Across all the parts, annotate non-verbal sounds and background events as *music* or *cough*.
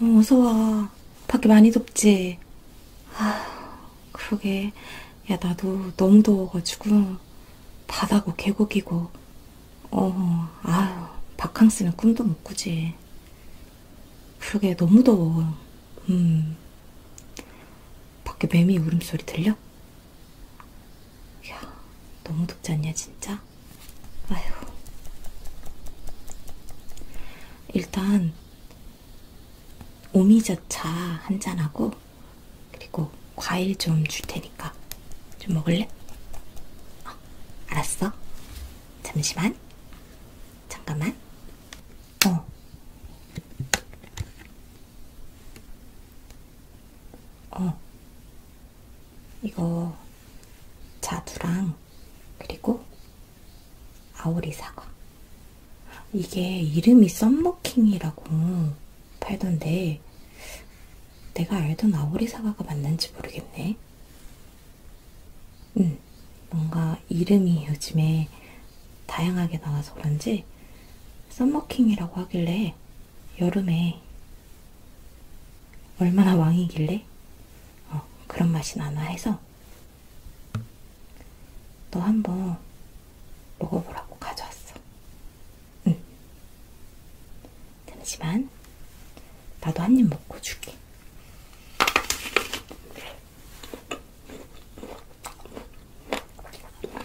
어, 어서 와. 밖에 많이 덥지? 아, 그러게. 야, 나도 너무 더워가지고, 바다고 계곡이고, 어, 아유, 바캉스는 꿈도 못 꾸지. 그러게, 너무 더워. 음. 밖에 매미 울음소리 들려? 야, 너무 덥지 않냐, 진짜? 아휴. 일단, 오미자차 한잔하고, 그리고 과일 좀 줄 테니까 좀 먹을래? 어, 알았어. 잠시만. 잠깐만. 어. 어. 이거 자두랑 그리고 아오리 사과. 이게 이름이 썸머킹이라고. 팔던데 내가 알던 아오리 사과가 맞는지 모르겠네. 응, 뭔가 이름이 요즘에 다양하게 나와서 그런지 썸머킹이라고 하길래 여름에 얼마나 왕이길래 어, 그런 맛이 나나 해서 너 한번 먹어보라고 가져왔어. 응. 잠시만. 나도 한 입 먹고 줄게.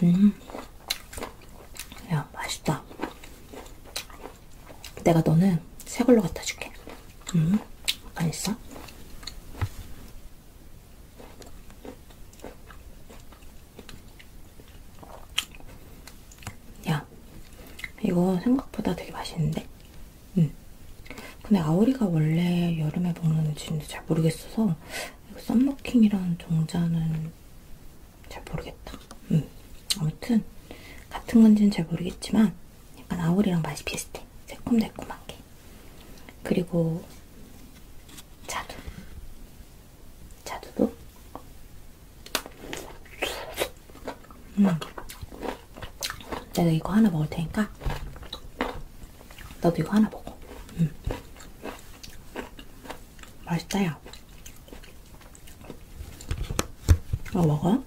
음. 야, 맛있다. 내가 너는 새 걸로 갖다 줄게. 음, 안 있어? 야, 이거 생각보다 되게 맛있는데? 응. 근데 아오리가 원래 여름에 먹는 음식인지 잘 모르겠어서 이거 썸머킹이랑 종자는 잘 모르겠다. 응. 아무튼 같은 건지는 잘 모르겠지만 약간 아오리랑 맛이 비슷해. 새콤달콤한 게. 그리고 자두. 자두도 음. 내가 이거 하나 먹을 테니까 너도 이거 하나 먹어 음. 맛있다 야 이거 먹어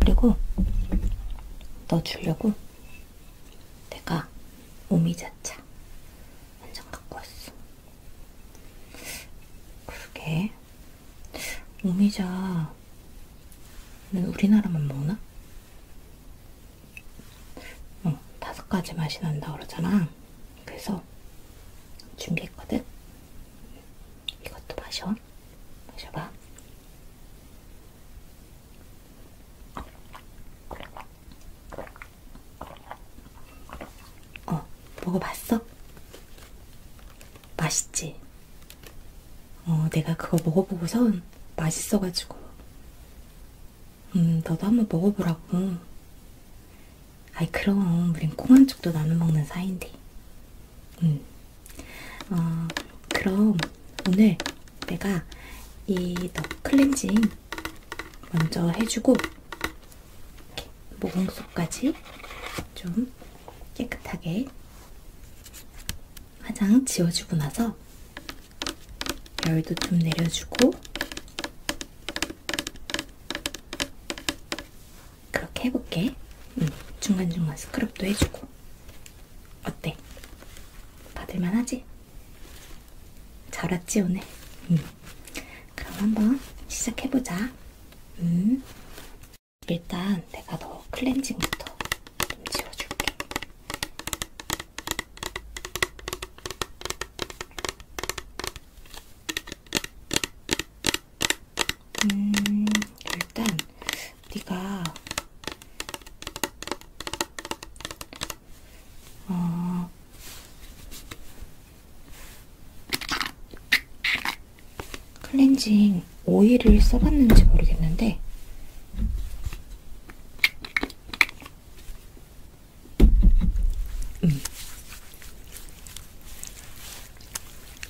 그리고 넣어주려고 내가 오미자차 한잔 갖고 왔어. 그러게 오미자는 우리나라만 먹나? 어, 다섯 가지 맛이 난다 그러잖아. 그래서 준비했거든. 이것도 마셔. 마셔봐. 어, 먹어봤어? 맛있지? 어, 내가 그거 먹어보고선 맛있어가지고. 음, 너도 한번 먹어보라고. 아이, 그럼, 우린 콩한 쪽도 나눠 먹는 사이인데. 음. 어, 그럼 오늘 내가 이너 클렌징 먼저 해주고 모공속까지 좀 깨끗하게 화장 지워주고 나서 열도 좀 내려주고 그렇게 해볼게. 응. 중간중간 스크럽도 해주고. 어때? 받을만 하지? 잘 왔지, 오늘? 응. 그럼 한번 시작해보자. 응. 일단 내가 너 클렌징부터 좀 지워줄게. 음, 일단 우리가 어, 클렌징 오일을 써봤는지 모르겠는데 음.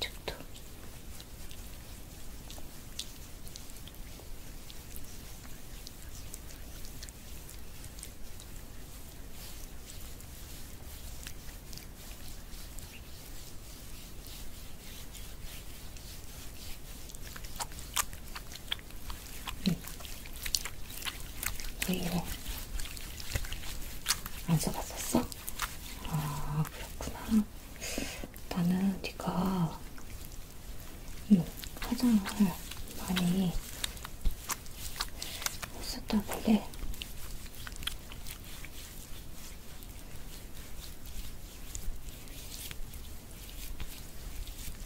이쪽도 응. 네. 이거 안 써봤었어? 아 그렇구나. 나는 네가 응, 화장을 많이 했었다길래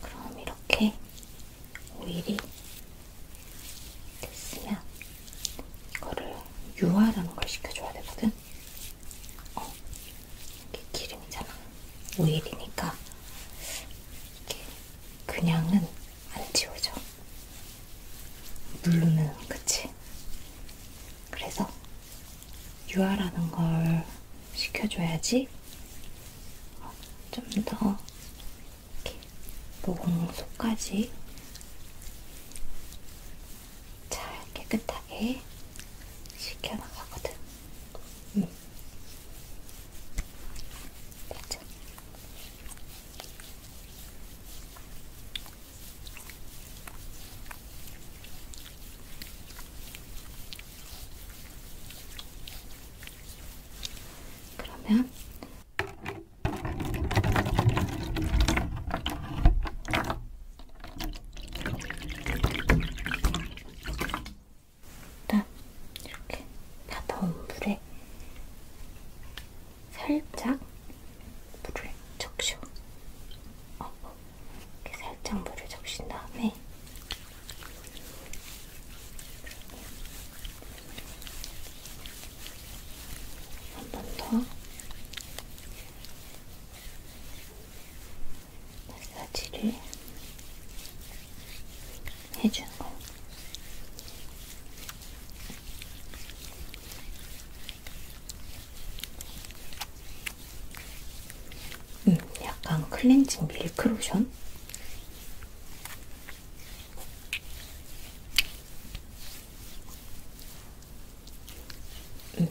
그럼 이렇게 오일이 됐으면 이거를 유화라는 걸 시켜줘야 되거든. 이거는 어, 이게 기름이잖아. 오일이니까 이게 그냥은 안 지워져. 누르면 그치? 그래서 유화라는 걸 시켜줘야지 어, 좀더 모공 속까지 잘 깨끗하게 식혀나가거든. 응. 맞아. 그러면 그다음 이렇게 받아온 물에 살짝 물을 적셔. 어, 이렇게 살짝 물을 적신 다음에 한번더 마사지를 해주는 거예요. 음, 약간 클렌징 밀크 로션? 음,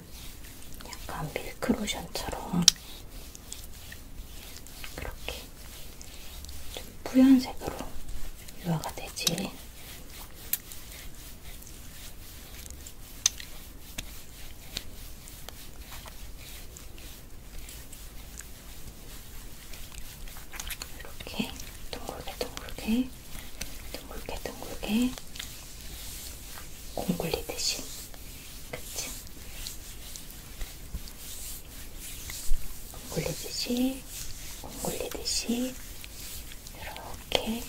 약간 밀크로션처럼 그렇게 좀 뿌연색으로 유화가 되지. 이렇게 동그랗게 동그랗게 둥글게 둥글게 공굴리듯이 그치? 공굴리듯이 공굴리듯이 이렇게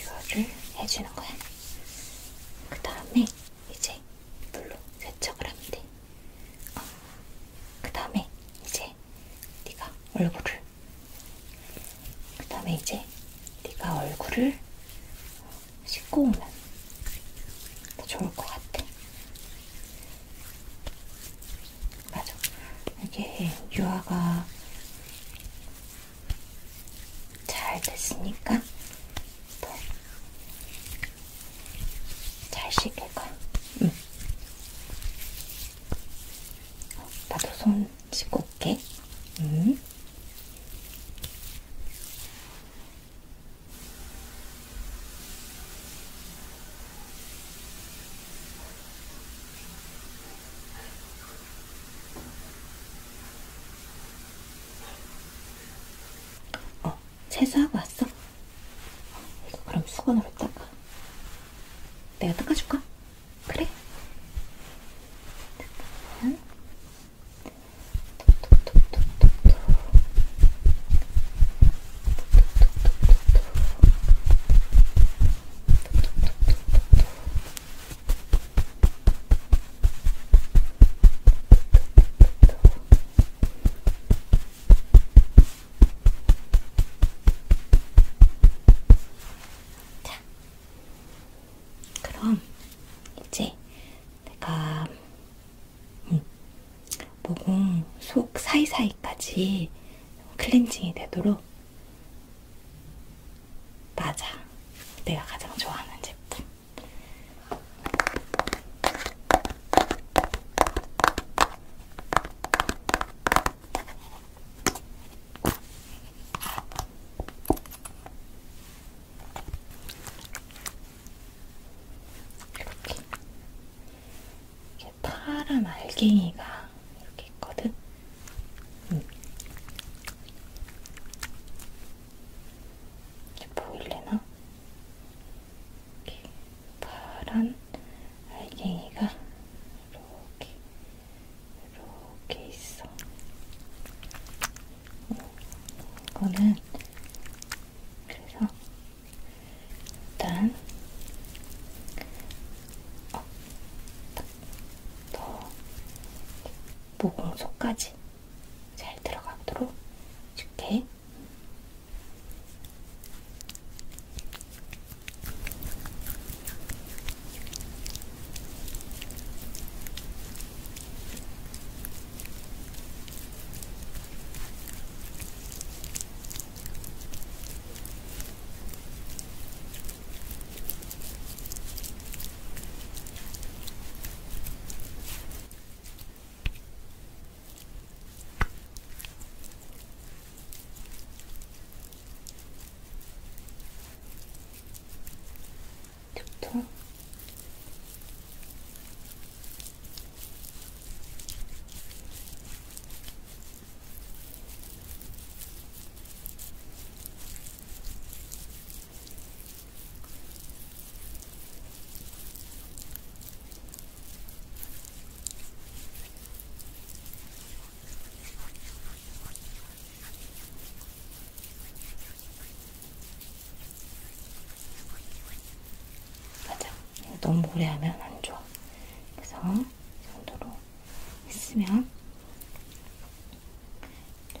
유화를 해주는 거야. 그 다음에 이제 물로 세척을 하면 돼. 어. 그 다음에 이제 네가 얼굴을 그 다음에 이제 네가 얼굴을 씻고 오면 더 좋을 것 같아. 맞아. 이게 유화가 잘 됐으니까 더잘 씻길 거야. 응. 어, 나도 손 씻고 올게. 응. 어, 세수하고 왔어? 이거 그럼 수건으로 닦아. 내가 닦아줄까? 그래. 잠깐만. 톡톡톡톡톡톡. 톡톡톡톡톡톡. 자, 그럼 이제 내가 음, 모공 속 사이사이까지 클렌징이 되도록 맞아. 내가 가장 좋아하는 제품. 이렇게 이게 파란 알갱이가 이렇게 있거든. 음. 이게 보일래나? 이렇게 파란 알갱이가 이렇게 이렇게 있어. 이거는 그래서 일단 어, 더 모공속까지 잘 들어가도록 줄게. 좋다. 맞아. 너무 오래 하면 안 좋아. 그래서 이 정도로 있으면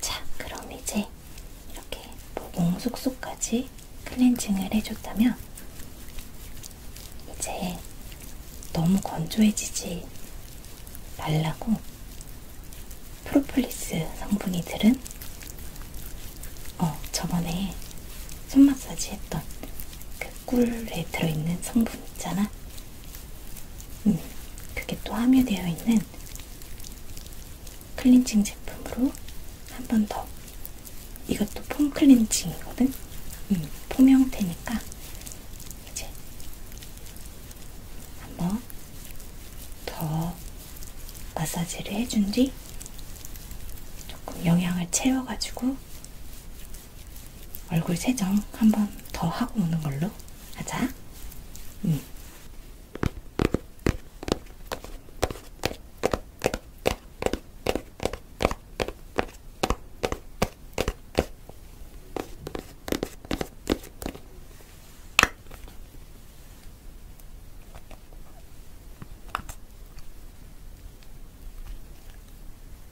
자, 그럼 이제 이렇게 모공 속속까지 클렌징을 해줬다면 이제 너무 건조해지지 말라고 프로폴리스 성분이 들은 어 저번에 손 마사지 했던 그 꿀에 들어있는 성분 있잖아 음, 그게 또 함유되어 있는 클렌징 제품으로 한 번 더. 이것도 폼 클렌징이거든? 음, 폼 형태니까 이제 한번 더 마사지를 해준 뒤 조금 영양을 채워가지고 얼굴 세정 한 번 더 하고 오는 걸로 하자. 응.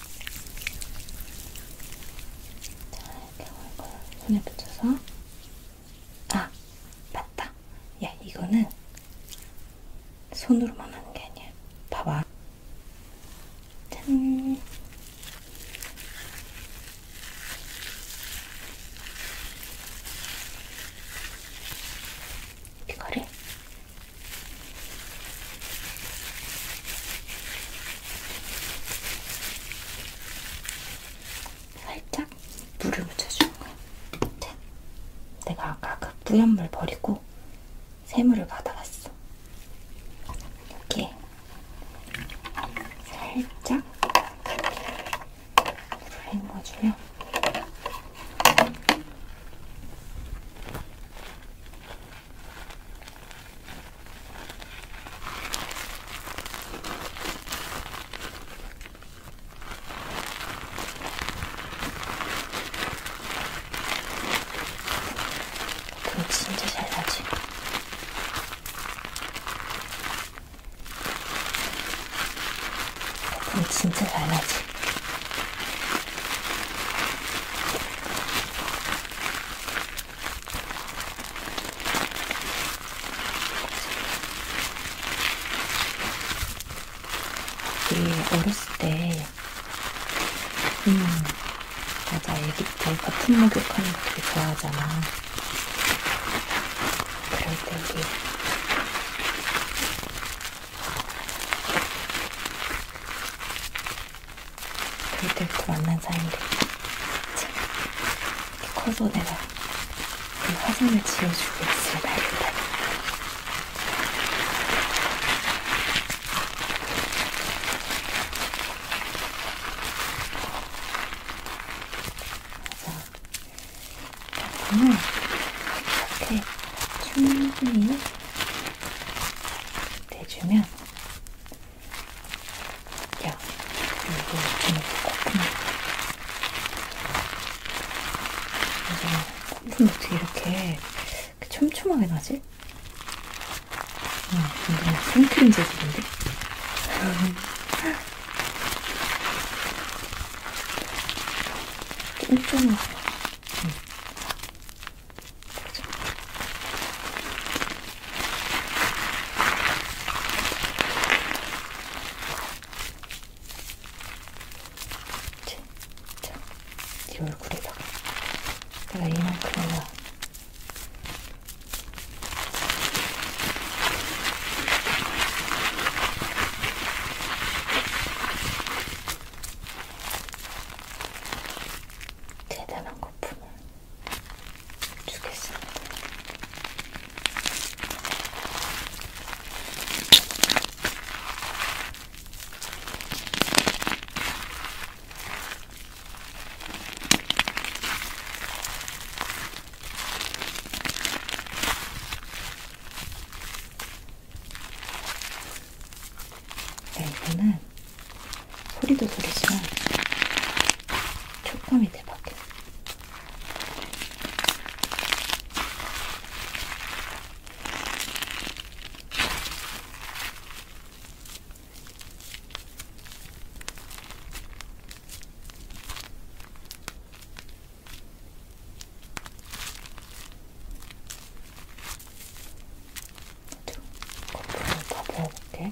자, 이렇게 얼굴 손에 붙여서 아! 맞다! 야, 이거는 손으로만 하는 게 아니야. 봐봐. 짠! 귀걸이 살짝 물을 묻혀주는 거야. 내가 아까 그 뿌연 물 버리고 새물을 받아왔어. 이렇게 살짝 물을 헹궈주면 진짜 잘 나지? 이 어, 진짜 잘 나지? 이게 어렸을 때, 음, 맞아, 애기 때 버튼 목욕하는 거 되게 좋아하잖아. 그럴 때 우리, 그 때부터 만난 사이인데 참, 커서 내가 그 화장을 지어주고 있을 날이다. 그러면 이렇게 충분히 대주면 때는 야, 이거 좀 코프네. 이게 콧물 어떻게 이렇게 촘촘하게 나지? 응, 이거 뭐 생크림 재질인데? 쫀쫀하다. 응. 진짜 이 얼굴에다가 내가 이만큼이나 대단한 거품을 주겠습니다. 야, 네, 이거는 소리도 소리지만 촉감이 대박이야. 거품을 다 부어볼게.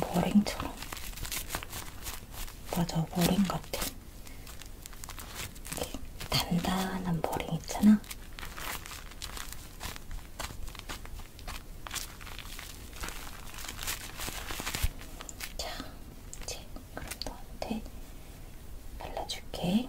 머랭처럼 맞아 머랭 같아 단단한 머랭 있잖아 자 이제 그럼 너한테 발라줄게.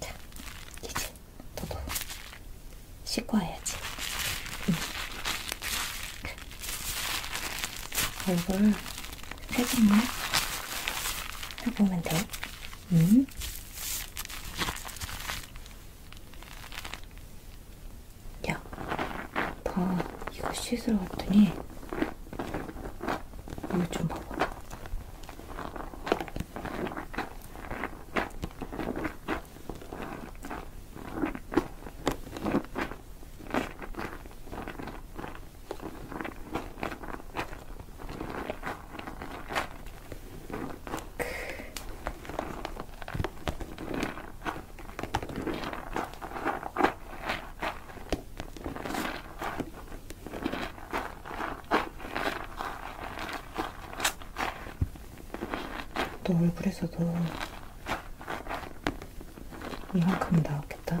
자, 이제 너도 씻고 와야지. 응. 얼굴 세정만 해보면 돼. 응? 야, 봐. 이거 씻으러 왔더니 이거 좀 봐봐. 또 얼굴에서도 이만큼 나왔겠다.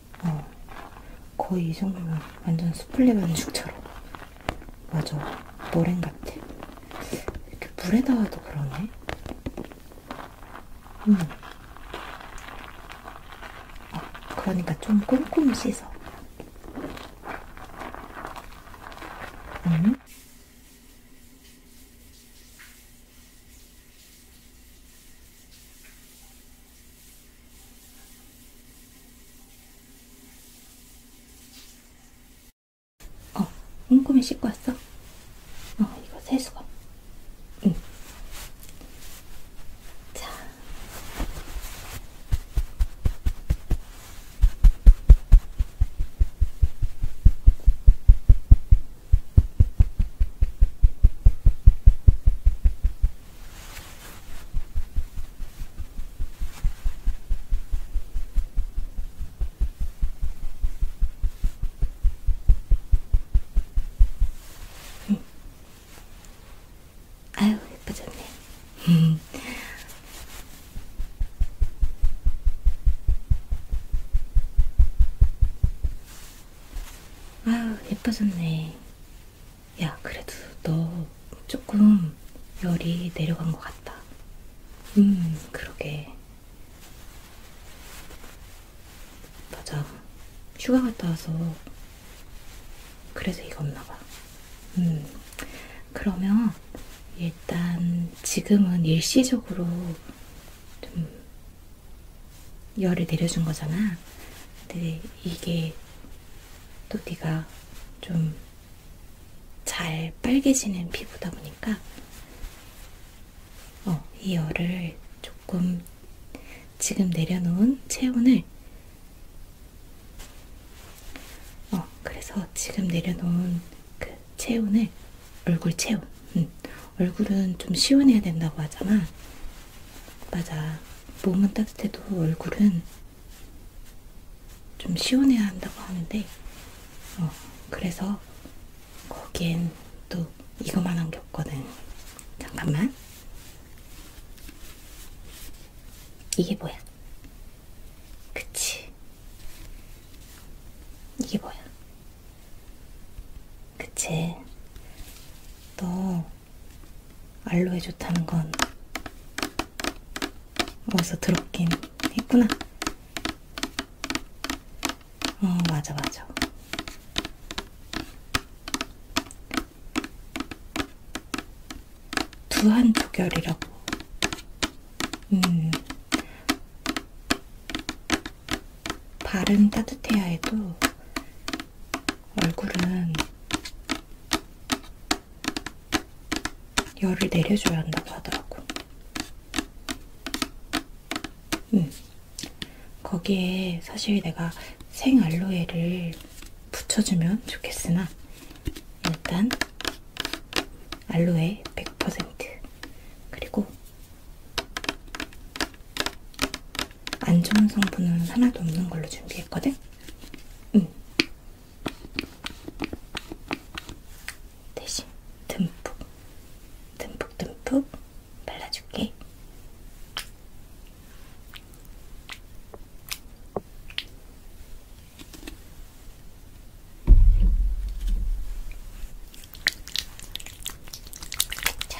어, 거의 이 정도면 완전 수플레 반죽처럼. 맞아, 머랭 같아. 이렇게 물에다가도 그러네. 음. 어, 그러니까 좀 꼼꼼히 씻어. 음? 어, 꼼꼼히 씻고 왔어? 어, 이거 세수건. 응. 자. 응. 아유, 예뻐졌네. *laughs* 아유, 예뻐졌네. 야, 그래도 너 조금 열이 내려간 것 같다. 음, 그러게. 맞아. 휴가 갔다 와서 그래서 이거 없나 봐. 음, 그러면 일단 지금은 일시적으로 좀 열을 내려준 거잖아. 근데 이게 또띠가 좀 잘 빨개지는 피부다 보니까 어, 이 열을 조금 지금 내려놓은 체온을 어, 그래서 지금 내려놓은 그 체온을 얼굴 체온 음, 얼굴은 좀 시원해야 된다고 하잖아 맞아. 몸은 따뜻해도 얼굴은 좀 시원해야 한다고 하는데, 어, 그래서 거기엔 또 이거만한 게 없거든. 잠깐만. 이게 뭐야? 그치. 이게 뭐야? 그치. 너 알로에 좋다는 건 어디서 들었긴 했구나. 어, 맞아, 맞아. 두한 조결이라고. 음. 발은 따뜻해야 해도 얼굴은 열을 내려줘야 한다고 하더라고. 음. 거기에 사실 내가 생 알로에를 붙여주면 좋겠으나 일단 알로에 100% 그리고 안 좋은 성분은 하나도 없는 걸로 준비했거든? 응. 대신 듬뿍, 듬뿍, 듬뿍 발라줄게. 자,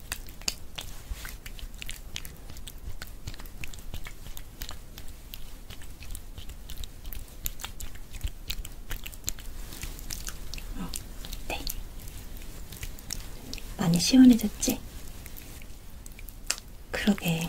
네. 많이 시원해졌지? 그러게.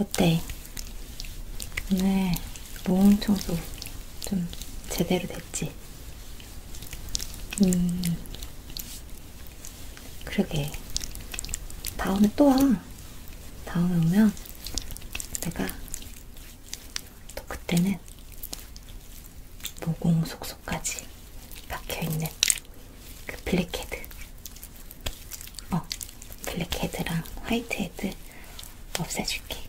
어때? 오늘 모음 청소 좀 제대로 됐지? 음, 그러게. 다음에 또 와. 다음에 오면 내가 또 그때는 모공 속속까지 박혀있는 그 블랙헤드. 어, 블랙헤드랑 화이트헤드 없애줄게.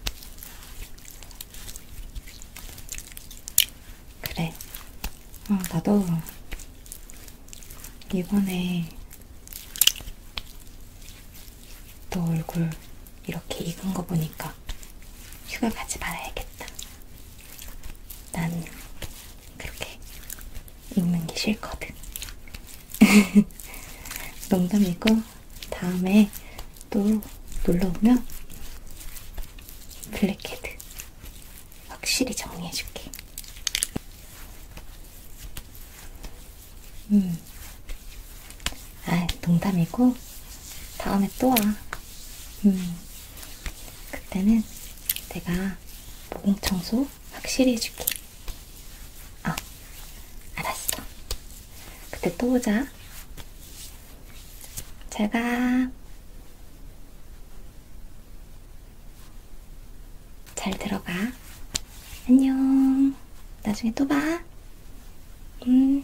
그래. 어, 나도 이번에 너 얼굴 이렇게 익은 거 보니까 휴가 가지 말아야겠다. 난 그렇게 익는 게 싫거든. *laughs* 농담이고 다음에 또 놀러 오면 블랙헤드 확실히 정리해줄게. 음. 아, 농담이고, 다음에 또 와. 음. 그때는 내가 모공 청소 확실히 해줄게. 아, 알았어. 그때 또 오자. 잘가. 잘 들어가. 안녕. 나중에 또 봐. 음.